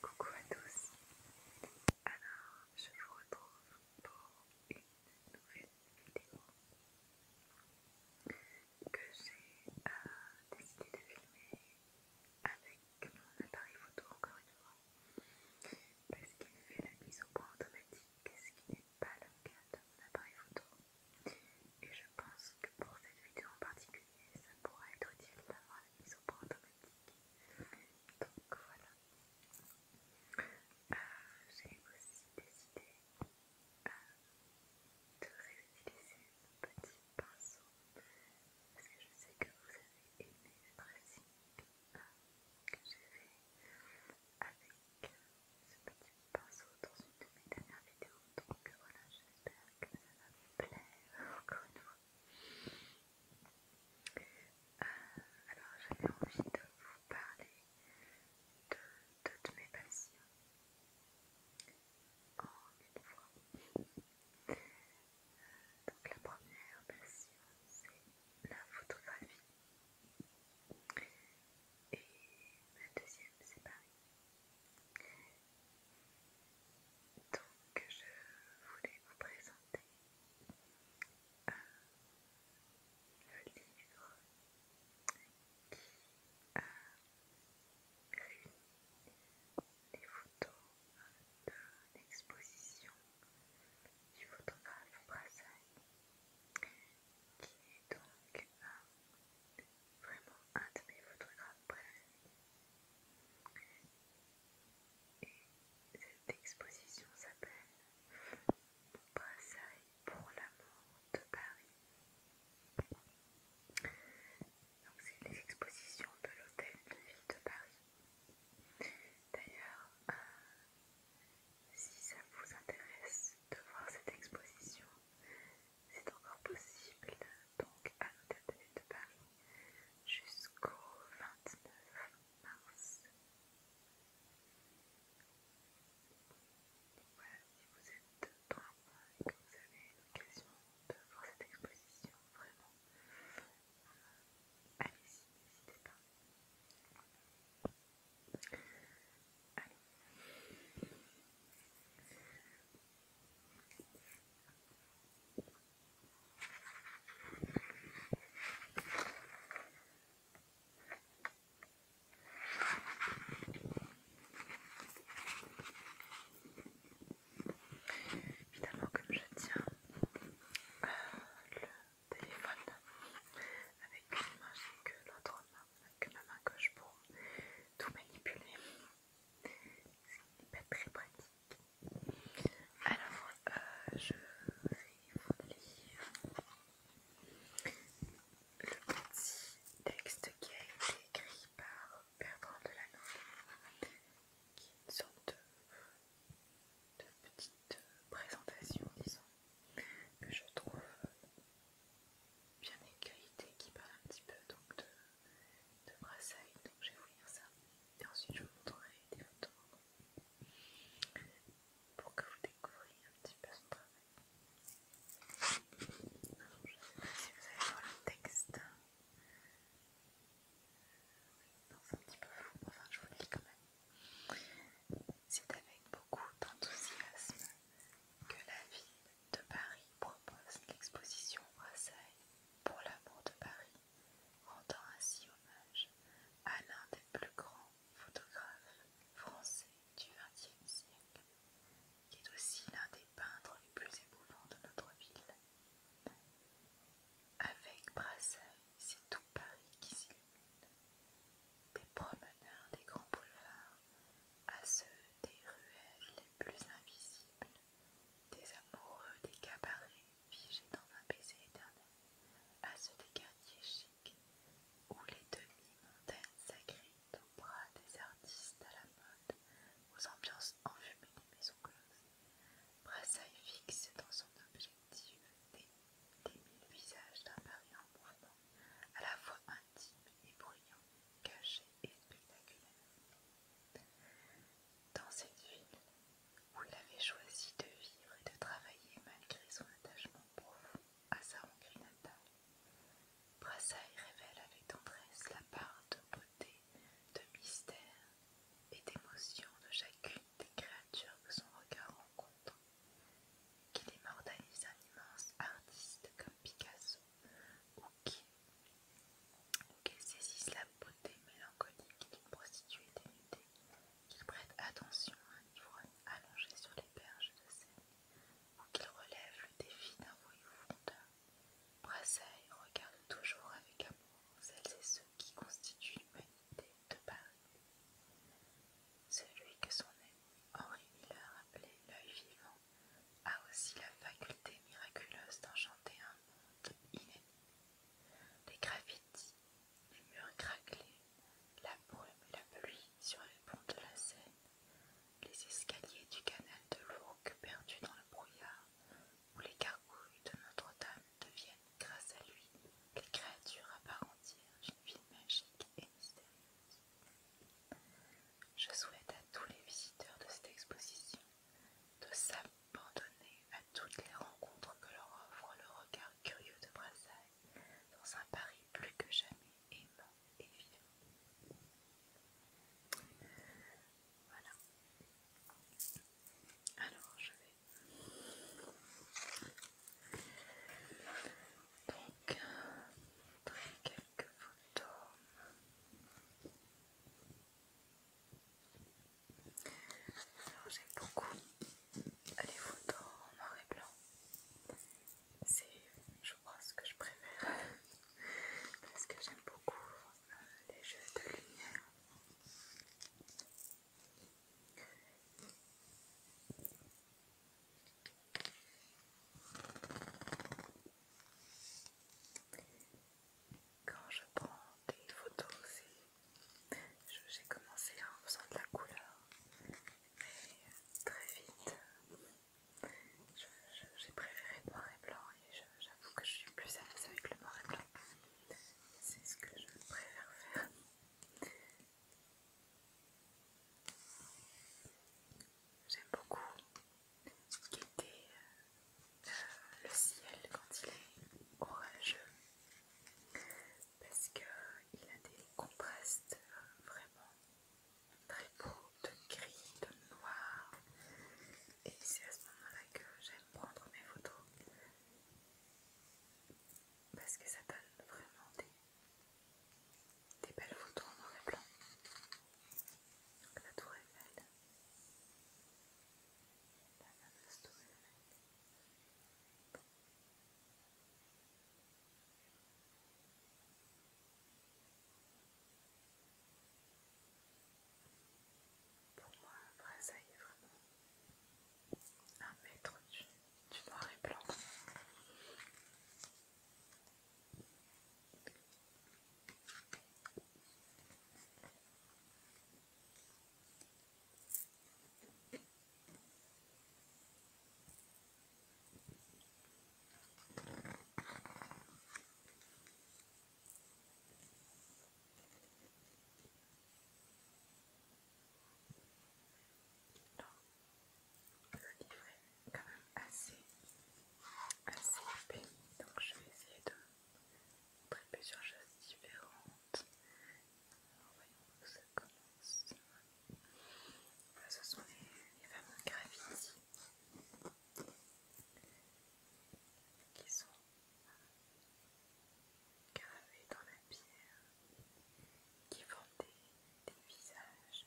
Coucou à tous, alors je vous retrouve pour une nouvelle vidéo que j'ai euh, décidé de filmer avec mon appareil photo encore une fois parce qu'il fait la mise au point automatique, ce qui n'est pas le cas de mon appareil photo et je pense que pour cette vidéo en particulier et ça pourra être utile d'avoir la mise au point automatique. Donc voilà. Euh, j'ai aussi décidé euh, de réutiliser ce petit pinceau parce que je sais que vous avez aimé le dressing euh, que j'ai fait avec ce petit pinceau dans une de mes dernières vidéos. Donc voilà, j'espère que ça va vous plaire euh, alors j'avais envie de vous parler de, toutes mes passions en une fois. donc la première passion c'est la photographie. Et la deuxième c'est Paris. Donc je voulais vous présenter le livre qui a réuni les photos de l'exposition du photographe Brassailles qui est donc un vraiment un de mes photographes préférés. Et cette exposition s'appelle Mon pour l'amour de Paris. Donc c'est les expositions de l'hôtel de ville de Paris. D'ailleurs, euh, si ça vous intéresse de voir cette exposition, c'est encore possible donc à atelier de Paris jusqu'au 29 mars. Voilà, si vous êtes dans et que vous avez l'occasion de voir cette exposition, vraiment, euh, allez-y, n'hésitez pas. Allez. Évidemment, comme je tiens euh, le téléphone avec une main, que l'autre main, que ma main gauche pour tout manipuler ce pas très pratique. Alors, euh, je vais vous lire le petit texte qui a été écrit par Bertrand de qui est une sorte de petite présentation, disons, que je trouve bien écailleté qui parle un petit peu donc de, de Donc je vais vous lire ça et ensuite je vous montrerai des photos pour que vous découvriez un petit peu son travail. je ne sais pas si vous avez voir le texte. Euh, c'est un petit peu flou, enfin je vous le lis quand même. C'est avec beaucoup d'enthousiasme que la vie de Paris propose l'exposition Brassailles pour l'amour de Paris, rendant ainsi hommage à l'un des plus grands photographes français du XXe siècle, qui est aussi l'un des peintres les plus émouvants de notre ville. Avec Brassailles, c'est tout Paris qui s'illumine. Des promeneurs des grands boulevards à ceux des ruelles les plus invisibles, des amoureux des cabarets figés dans un baiser éternel, à ceux des quartiers chics où les demi montagnes sacrées aux bras des artistes à la mode, aux ambiances enfumées des maisons closes. Brassailles fixe dans son objectif des, des mille visages d'un Paris en mouvement à la fois intime et bruyant, caché et spectaculaire. Dans cette ville, où il avait choisi de vivre et de travailler malgré son attachement profond à sa Hongrie natale, Brassailles révèle avec tendresse la part de beauté, de mystère et d'émotion de chacune des créatures que son regard rencontre, qui immortalise un immense artiste comme Picasso ou saisissent la beauté mélancolique d'une prostituée dénudée. Qu'ils prêtent attention à un ivrogne allongé sur les berges de Seine, ou qu'ils relèvent le défi d'un voyou fondeur, Brasseille regarde toujours avec amour celles et ceux qui constituent l'humanité de Paris. Celui que son ami Henri Miller appelait l'œil vivant a aussi la faculté miraculeuse d'enchanter un monde inédit. Les graffitis, les murs craquelés, la brume et la pluie sur les ponts de la Seine, les escaliers du canal de l'Ourcq perdu dans le brouillard, où les gargouilles de Notre-Dame deviennent, grâce à lui, les créatures à part entière d'une ville magique et mystérieuse. Je souhaite à tous les visiteurs de cette exposition de s'abandonner à toutes les rencontres que leur offre le regard curieux de Brassailles dans un Paris plus que jamais aimant et vivant. Voilà. Alors je vais donc euh, montrer quelques photos. Alors j'aime beaucoup les photos en noir et blanc. C'est je crois ce que je préfère parce que j'aime beaucoup euh, les jeux de lumière. Quand je prends des photos aussi, j'ai commencé en faisant de la couleur, mais très vite j'ai préféré le noir et blanc et j'avoue que je suis plus à l'aise avec le noir et blanc. C'est ce que je préfère faire. J'aime beaucoup qui était euh, le ciel quand il est orageux parce qu'il a des contrastes euh, vraiment très beaux de gris, de noir et c'est à ce moment-là que j'aime prendre mes photos parce que ça donne vraiment des des belles photos en noir et blanc. La tour Eiffel. La fameuse tour Pour moi, ça y est vraiment un maître du tu noir et le livre est quand même assez, assez épais, donc je vais essayer de montrer plusieurs choses différentes. Alors, voyons où ça commence. Voilà, ce sont les, fameux graffitis qui sont euh, gravés dans la pierre qui font des visages.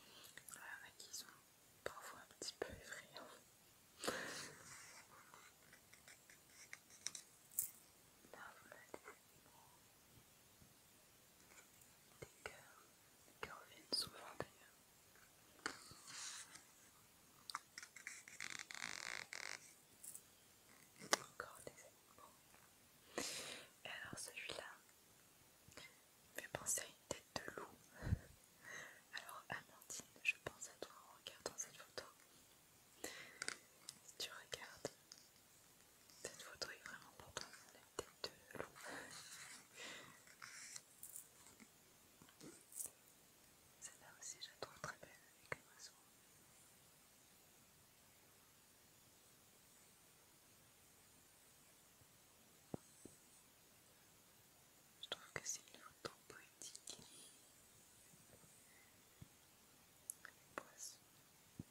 Il y en a qui sont parfois un petit peu effrayants. Là, vous avez des cœurs, Des cœurs viennent souvent d'ailleurs. Encore des animaux. Et alors celui-là, me fait penser à une tête de loup. Alors Amandine, je pense à toi en regardant cette photo. Si tu regardes, cette photo est vraiment pour toi, la tête de loup. Celle-là aussi, j'adore très belle avec un oiseau. Je trouve que c'est une photo poétique. Les poissons. Donc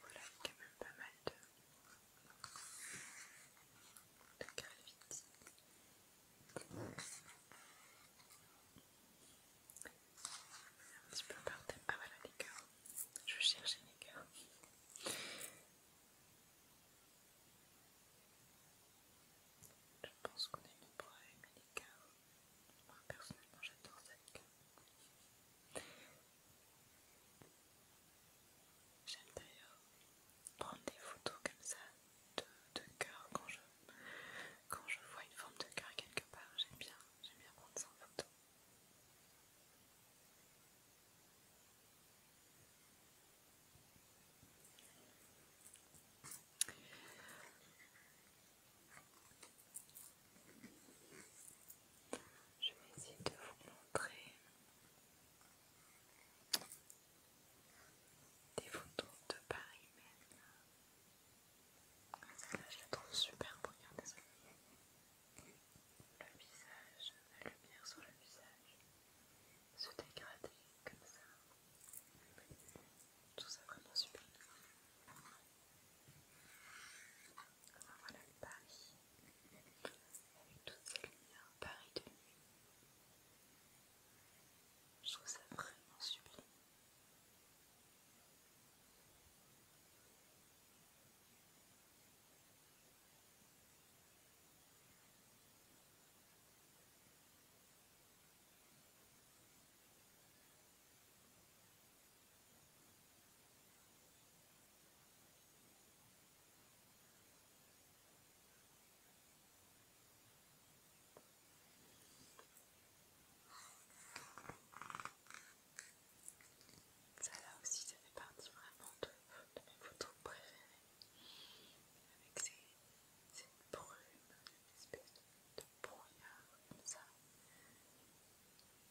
voilà, il y a quand même pas mal de un petit peu par thème. Ah voilà les cœurs. Je cherchais les cœurs. Je pense qu'on est nombreux à aimer les cœurs. Moi personnellement j'adore ça les cœurs. J'aime d'ailleurs prendre des photos comme ça de, cœur quand je, quand je vois une forme de cœur quelque part. J'aime bien, j'aime bien prendre ça en photo. Je vais essayer de vous montrer des photos de Paris même. Là, je la trouve super regardez ça. Le visage, la lumière sur le visage, se dégrader comme ça. Tout ça vraiment super. Voilà le Paris avec toutes ces lumières Paris de nuit. Je trouve ça vraiment sublime. Ça là aussi, ça fait partie vraiment de, mes photos préférées. Avec ces, brumes, une espèce de brouillard comme ça.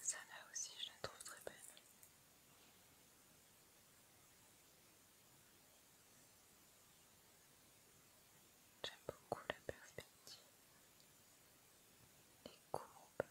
Ça là aussi, je la trouve très belle. J'aime beaucoup la perspective, les courbes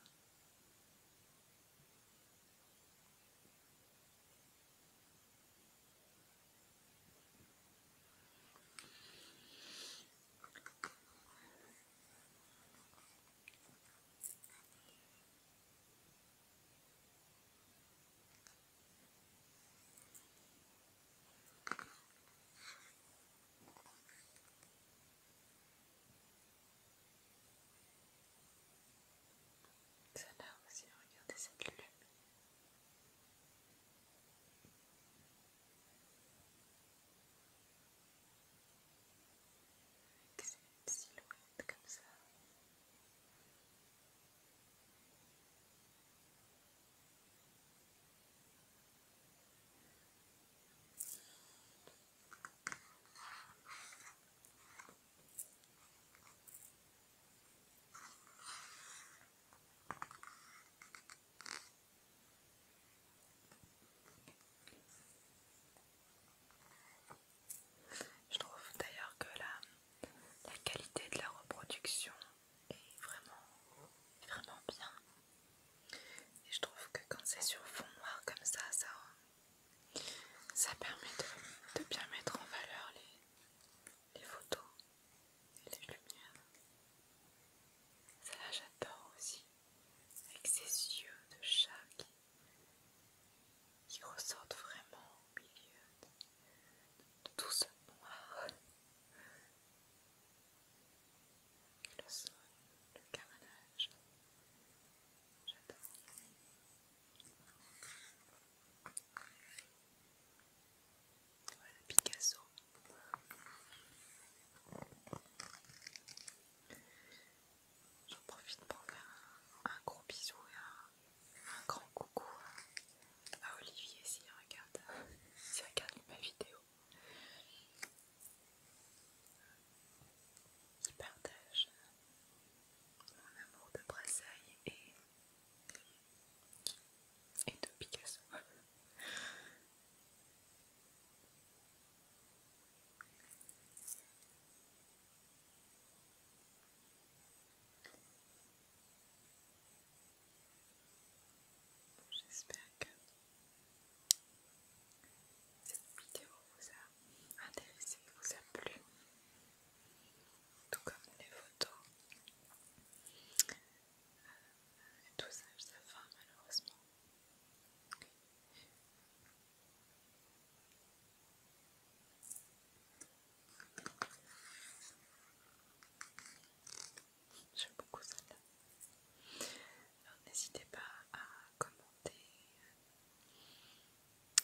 ça Celle-là aussi, regardez cette lune c'est une silhouette comme ça. Je trouve d'ailleurs que la, qualité de la reproduction est vraiment, vraiment bien. Et je trouve que quand c'est sur fond noir comme ça, ça, permet de bien mettre en valeur les, les photos et les lumières. ça là j'adore aussi, avec ces yeux de chat qui, ressortent vraiment au milieu de, tout ce noir. Le son, le cabanage, j'adore. Voilà Picasso. J'en profite pour faire un, gros bisou et un, grand coucou à, Olivier s'il regarde, regarde ma vidéo. Il partage mon amour de Brésil et et de Picasso. J'espère que cette vidéo vous a intéressé, vous a plu tout comme les photos. et euh, tout ça, je sais pas, malheureusement. J'aime beaucoup celle Alors n'hésitez pas à commenter, euh,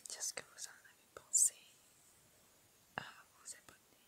dire ce que vous en avez pensé, à vous abonner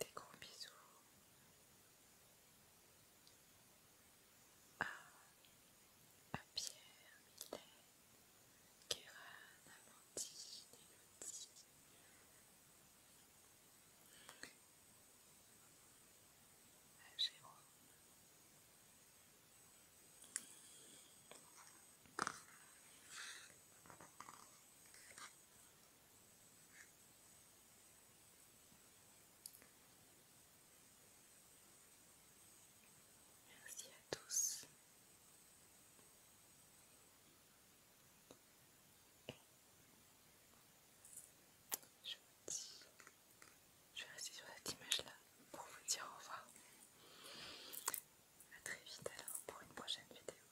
Des gros bisous ah, à, Pierre, Mylène, Kéran, Amandine, Elodie. Jérôme. Merci à tous. Je, dis, je vais rester sur cette image-là pour vous dire au revoir. A très vite alors pour une prochaine vidéo.